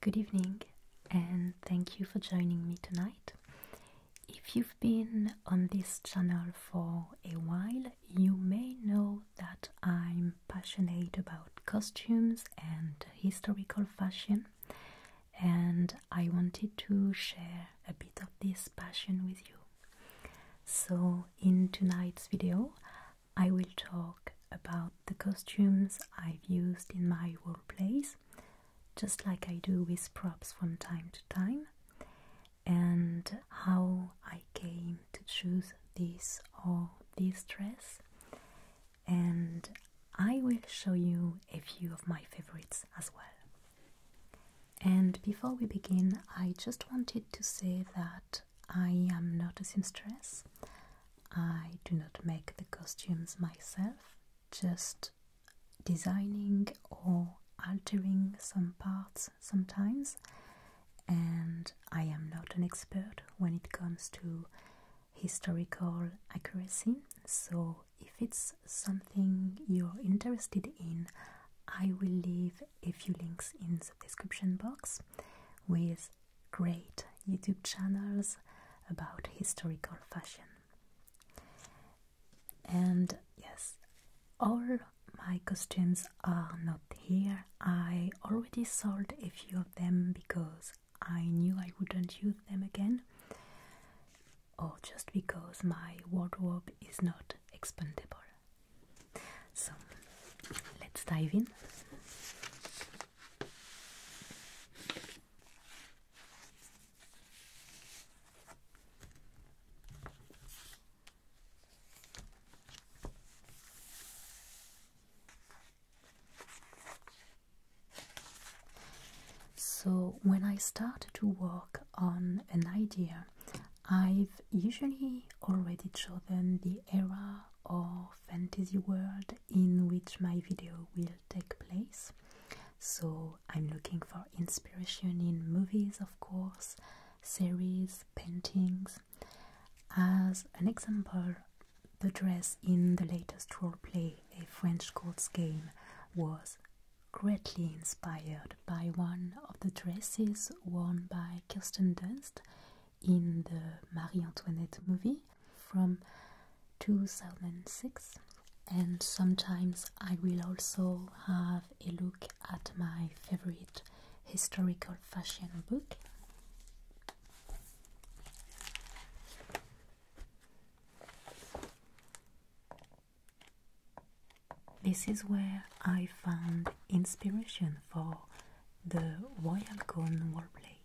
Good evening, and thank you for joining me tonight. If you've been on this channel for a while, you may know that I'm passionate about costumes and historical fashion, and I wanted to share a bit of this passion with you. So, in tonight's video, I will talk about the costumes I've used in my role plays, just like I do with props from time to time, and how I came to choose this or this dress. And I will show you a few of my favorites as well. And before we begin, I just wanted to say that I am not a seamstress. I do not make the costumes myself, just designing or altering some parts sometimes. And I am not an expert when it comes to historical accuracy. So, if it's something you're interested in, I will leave a few links in the description box with great YouTube channels about historical fashion. And yes, all my costumes are not here. I already sold a few of them because I knew I wouldn't use them again, or just because my wardrobe is not expandable. So let's dive in. So, when I start to work on an idea, I've usually already chosen the era or fantasy world in which my video will take place. So, I'm looking for inspiration in movies, of course, series, paintings. As an example, the dress in the latest role play, A French Courts Game, was greatly inspired by one of the dresses worn by Kirsten Dunst in the Marie Antoinette movie from 2006 and sometimes I will also have a look at my favorite historical fashion book. This is where I found inspiration for the Royal Gone Warplay.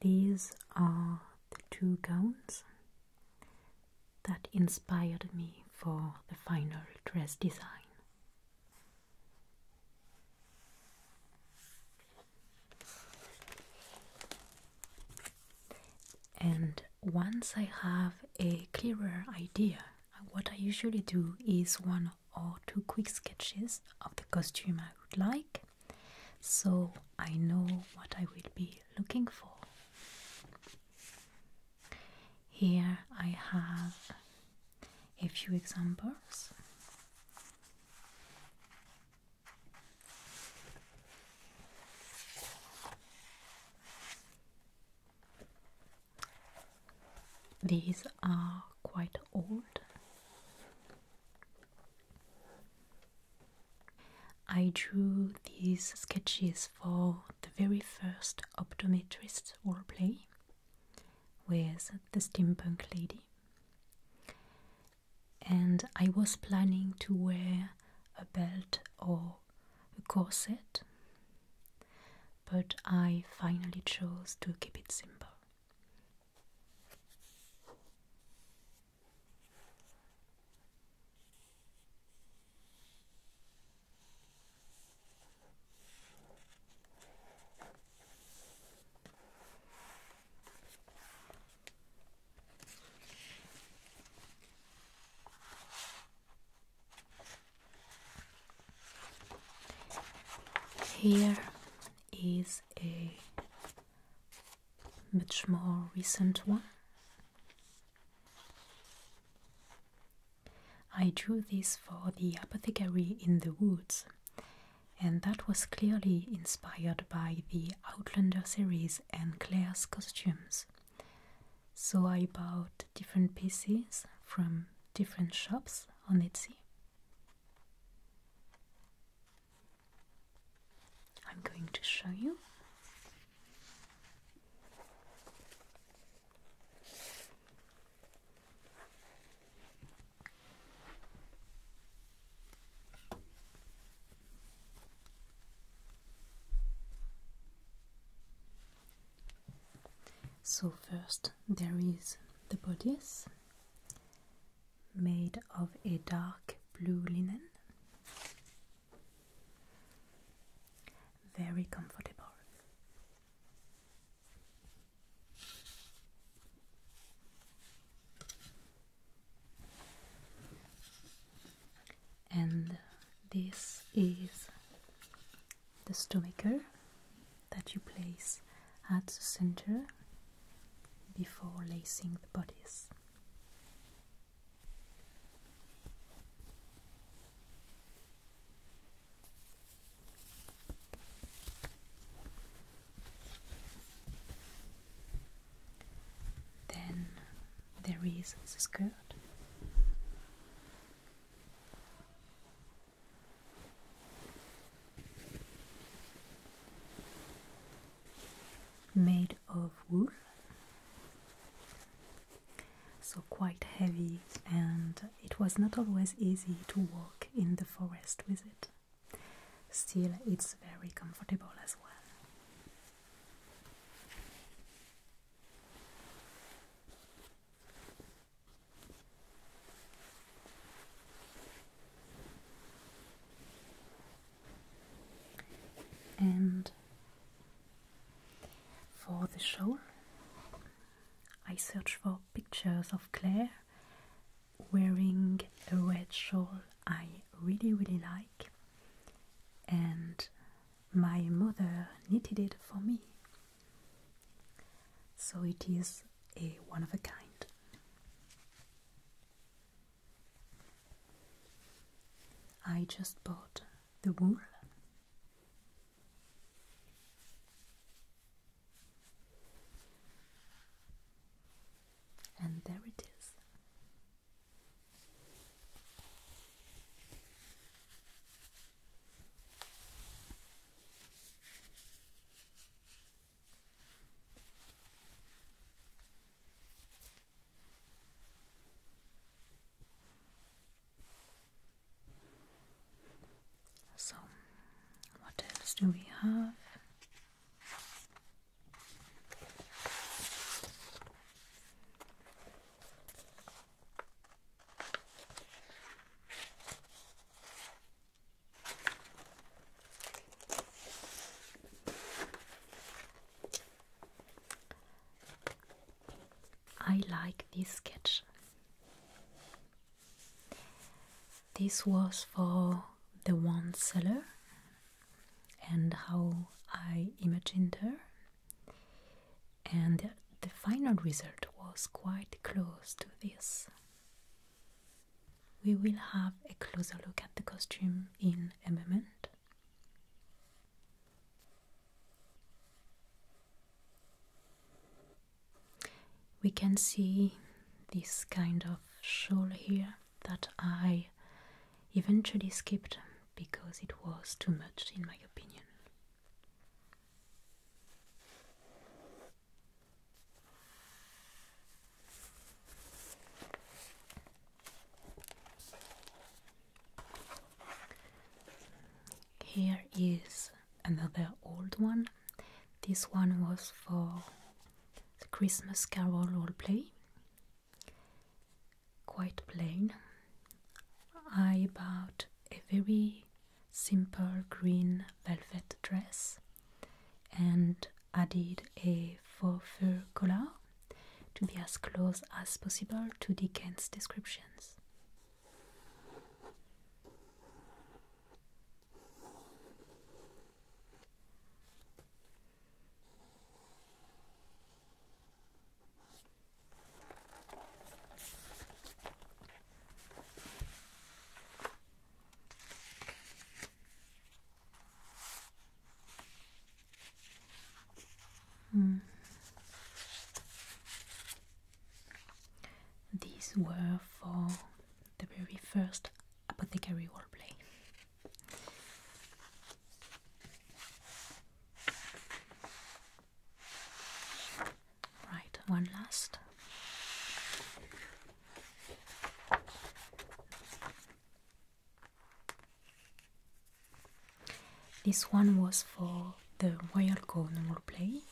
These are the two guns that inspired me for the final dress design. And once I have a clearer idea, what I usually do is one or two quick sketches of the costume I would like, so I know what I will be looking for. Here I have a few examples. These are quite old. I drew these sketches for the very first optometrist role play with the steampunk lady, and I was planning to wear a belt or a corset, but I finally chose to keep it simple. Here is a much more recent one I drew this for the apothecary in the woods, and that was clearly inspired by the Outlander series and Claire's costumes. So I bought different pieces from different shops on Etsy. I'm going to show you. So, first, there is the bodice made of a dark blue linen very comfortable. And this is the stomacher that you place at the center before lacing the bodies. Then there is the skirt. Made of wool, so quite heavy, and it was not always easy to walk in the forest with it. Still, it's very comfortable as well. And for the show, I searched for pictures of Claire wearing a red shawl I really, really like, and my mother knitted it for me. So it is a one of a kind. I just bought the wool. And there it is. So, what else do we have? I like this sketch. This was for the one seller and how I imagined her, and the, the final result was quite close to this. We will have a closer look at the costume in a moment. We can see this kind of shawl here that I eventually skipped because it was too much, in my opinion. Here is another old one. This one was for the Christmas Carol role play. Quite plain. I bought a very simple green velvet dress and added a faux fur collar to be as close as possible to Dickens' descriptions. Hmm. These were for the very first apothecary roleplay. Right, one last. This one was for the Royal Go play.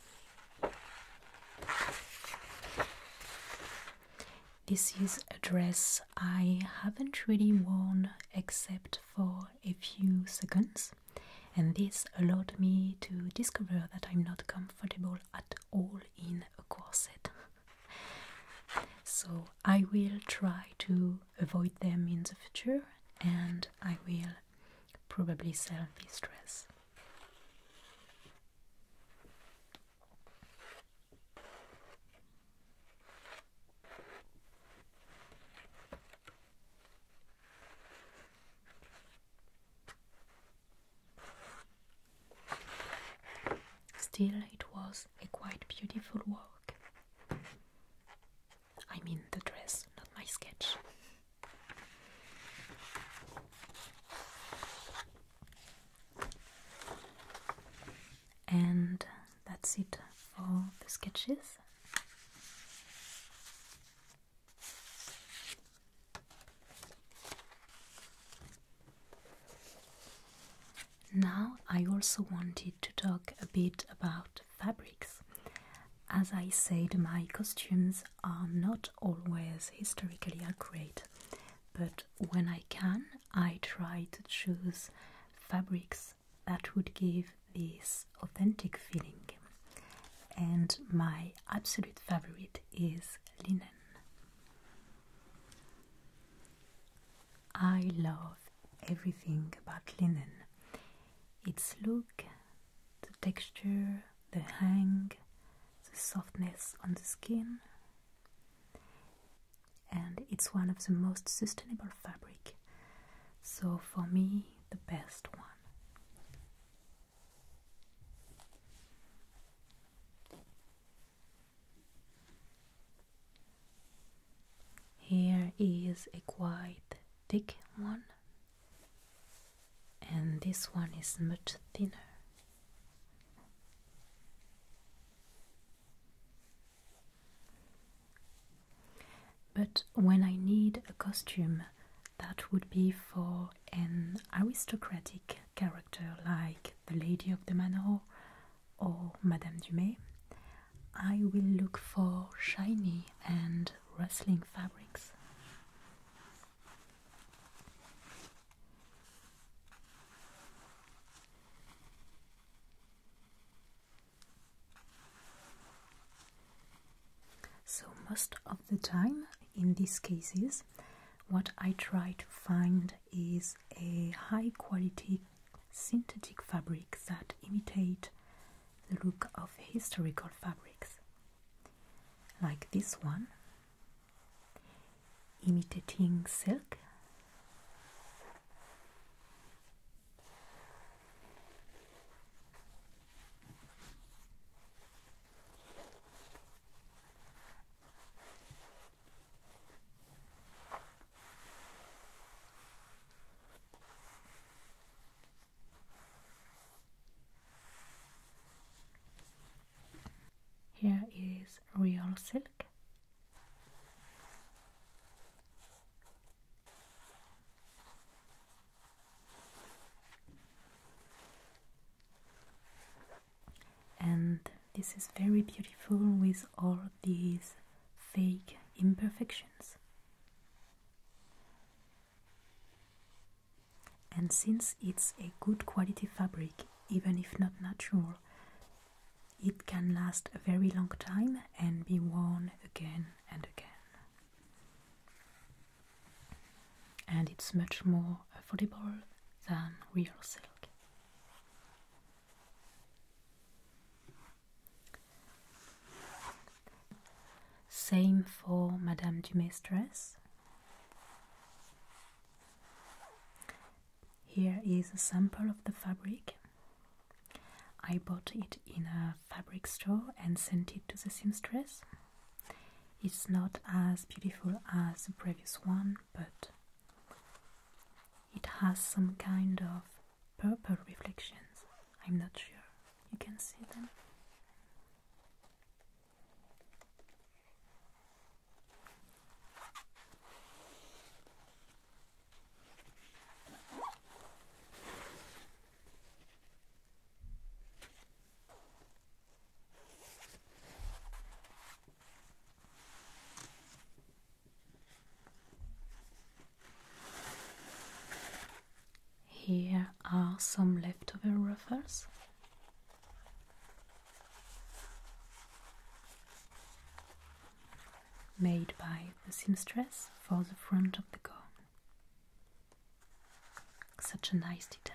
This is a dress I haven't really worn except for a few seconds, and this allowed me to discover that I'm not comfortable at all in a corset. so I will try to avoid them in the future and I will probably sell this dress. Still, it was a quite beautiful walk. I mean the dress, not my sketch. And that's it for the sketches. Now, I also wanted to talk a bit about fabrics. As I said, my costumes are not always historically accurate, but when I can, I try to choose fabrics that would give this authentic feeling. And my absolute favorite is linen. I love everything about linen its look, the texture, the hang, the softness on the skin. And it's one of the most sustainable fabric. So for me, the best one. Here is a quite thick one, and this one is much thinner. But when I need a costume, that would be for an aristocratic character like the Lady of the Manor or Madame Dumay, I will look for shiny and rustling fabrics. So, most of the time in these cases, what I try to find is a high quality synthetic fabrics that imitate the look of historical fabrics, like this one, imitating silk. Here is real silk. And this is very beautiful with all these fake imperfections. And since it's a good quality fabric, even if not natural, it can last a very long time and be worn again and again. And it's much more affordable than real silk. Same for Madame du Mistress. Here is a sample of the fabric. I bought it in a fabric store and sent it to the seamstress. It's not as beautiful as the previous one, but it has some kind of purple reflections. I'm not sure you can see them. Here are some leftover ruffles. Made by the seamstress for the front of the gown. Such a nice detail.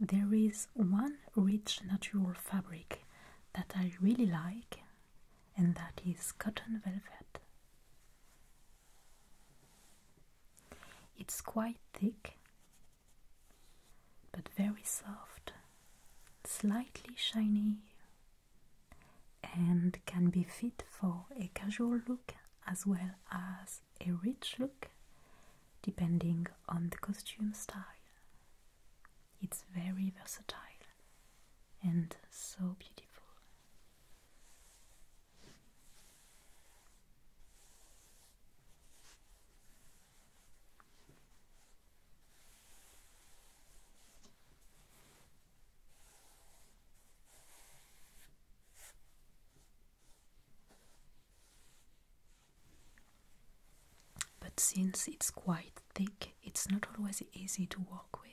there is one rich natural fabric that I really like, and that is cotton velvet. It's quite thick, but very soft, slightly shiny, and can be fit for a casual look as well as a rich look, depending on the costume style. It's very versatile and so beautiful. But since it's quite thick, it's not always easy to walk with.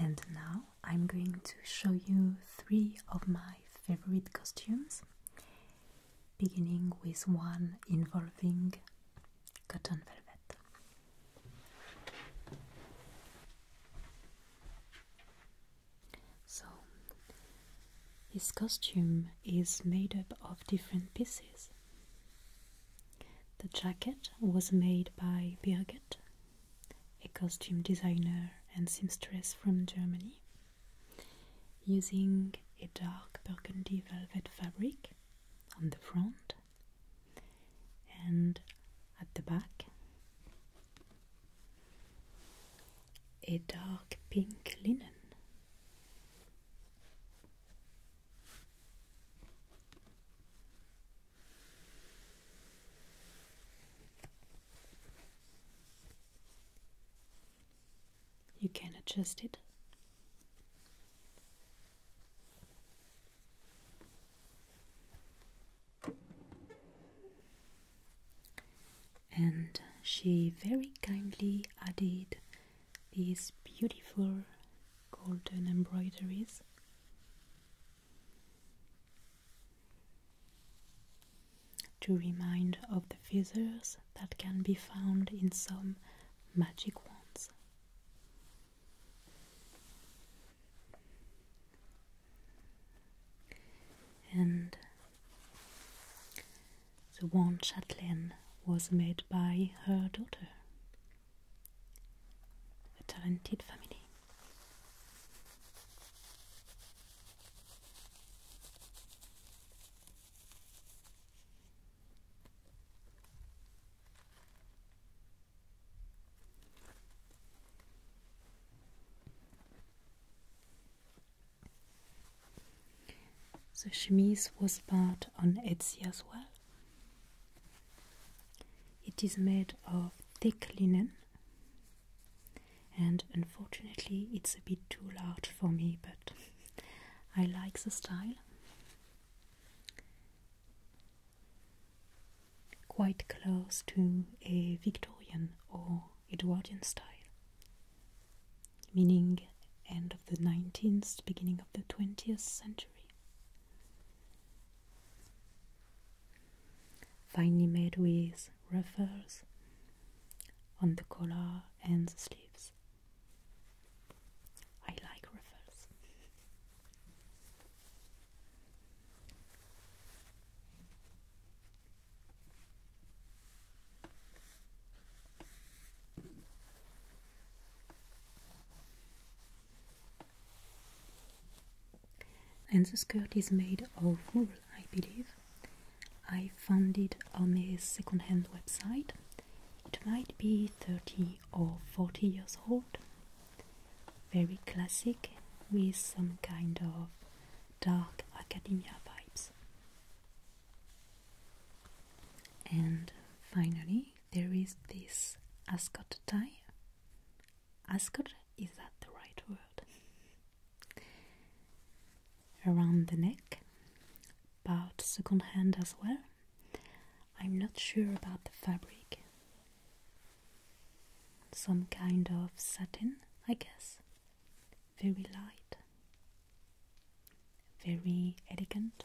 And now I'm going to show you three of my favorite costumes beginning with one involving cotton velvet. So, his costume is made up of different pieces. The jacket was made by Birgit, a costume designer and seamstress from Germany using a dark burgundy velvet fabric on the front and at the back a dark pink linen you can adjust it. And she very kindly added these beautiful golden embroideries to remind of the feathers that can be found in some magic wands. And the wand chatelaine was made by her daughter, a talented family. The chemise was bought on Etsy as well. It is made of thick linen and unfortunately it's a bit too large for me, but I like the style. Quite close to a Victorian or Edwardian style, meaning end of the 19th, beginning of the 20th century. Finely made with ruffles, on the collar and the sleeves. I like ruffles. And the skirt is made of wool, I believe. I found it on a second-hand website. It might be 30 or 40 years old. Very classic with some kind of dark academia vibes. And finally, there is this ascot tie. Ascot, is that the right word? around the neck, about second hand as well. I'm not sure about the fabric. Some kind of satin, I guess. Very light, very elegant.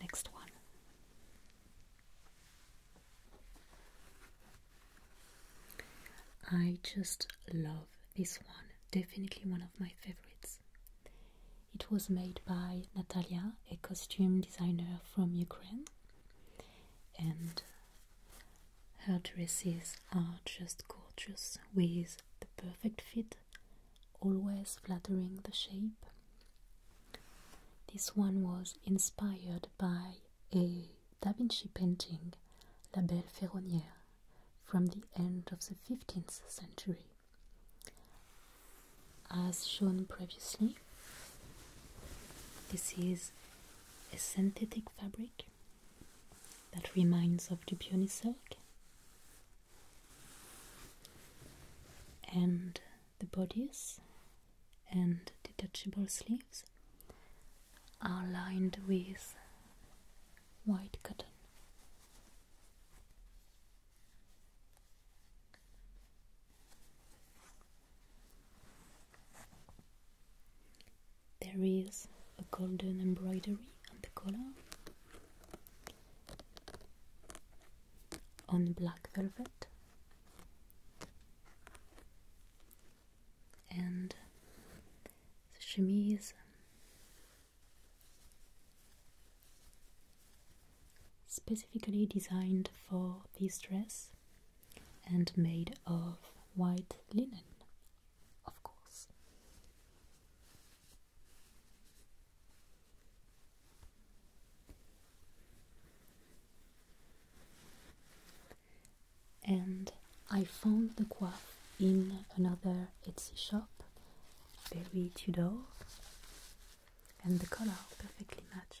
Next one. I just love this one, definitely one of my favorites. It was made by Natalia, a costume designer from Ukraine, and her dresses are just gorgeous, with the perfect fit, always flattering the shape. This one was inspired by a Da Vinci painting, La Belle Ferronnière, from the end of the 15th century. As shown previously, this is a synthetic fabric that reminds of the peony silk and the bodice and detachable sleeves are lined with white cotton. There is a golden embroidery on the collar on black velvet and the chemise specifically designed for this dress and made of white linen of course. And I found the coif in another Etsy shop, very Tudor, and the color perfectly matches.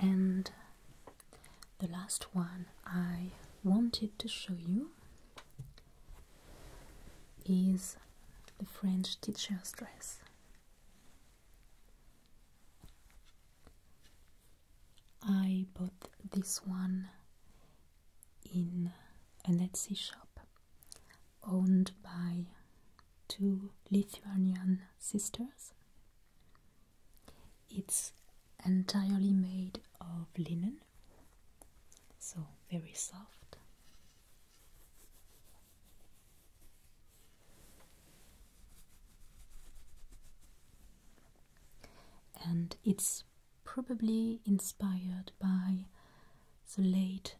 and the last one I wanted to show you is the French teacher's dress. I bought this one in an Etsy shop owned by two Lithuanian sisters it's entirely made of linen, so very soft. And it's probably inspired by the late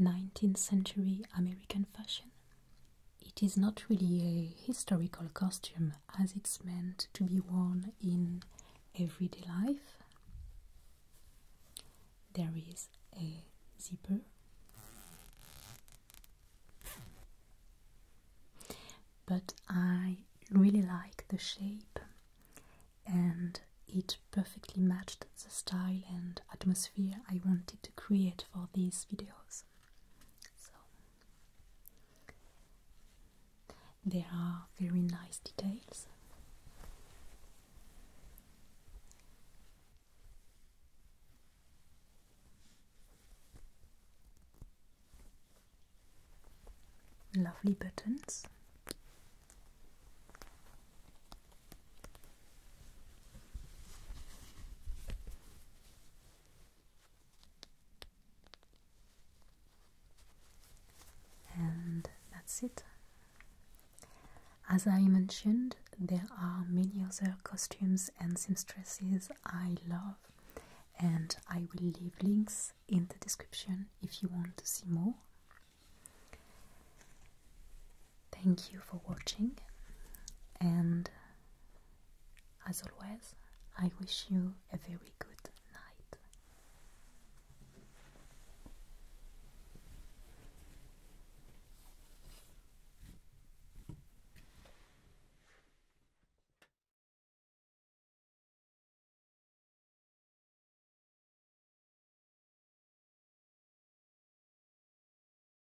19th century American fashion, it is not really a historical costume as it's meant to be worn in everyday life. There is a zipper. But I really like the shape and it perfectly matched the style and atmosphere I wanted to create for these videos. So there are very nice details. Lovely buttons. And that's it. As I mentioned, there are many other costumes and seamstresses I love, and I will leave links in the description if you want to see more. Thank you for watching, and as always, I wish you a very good night.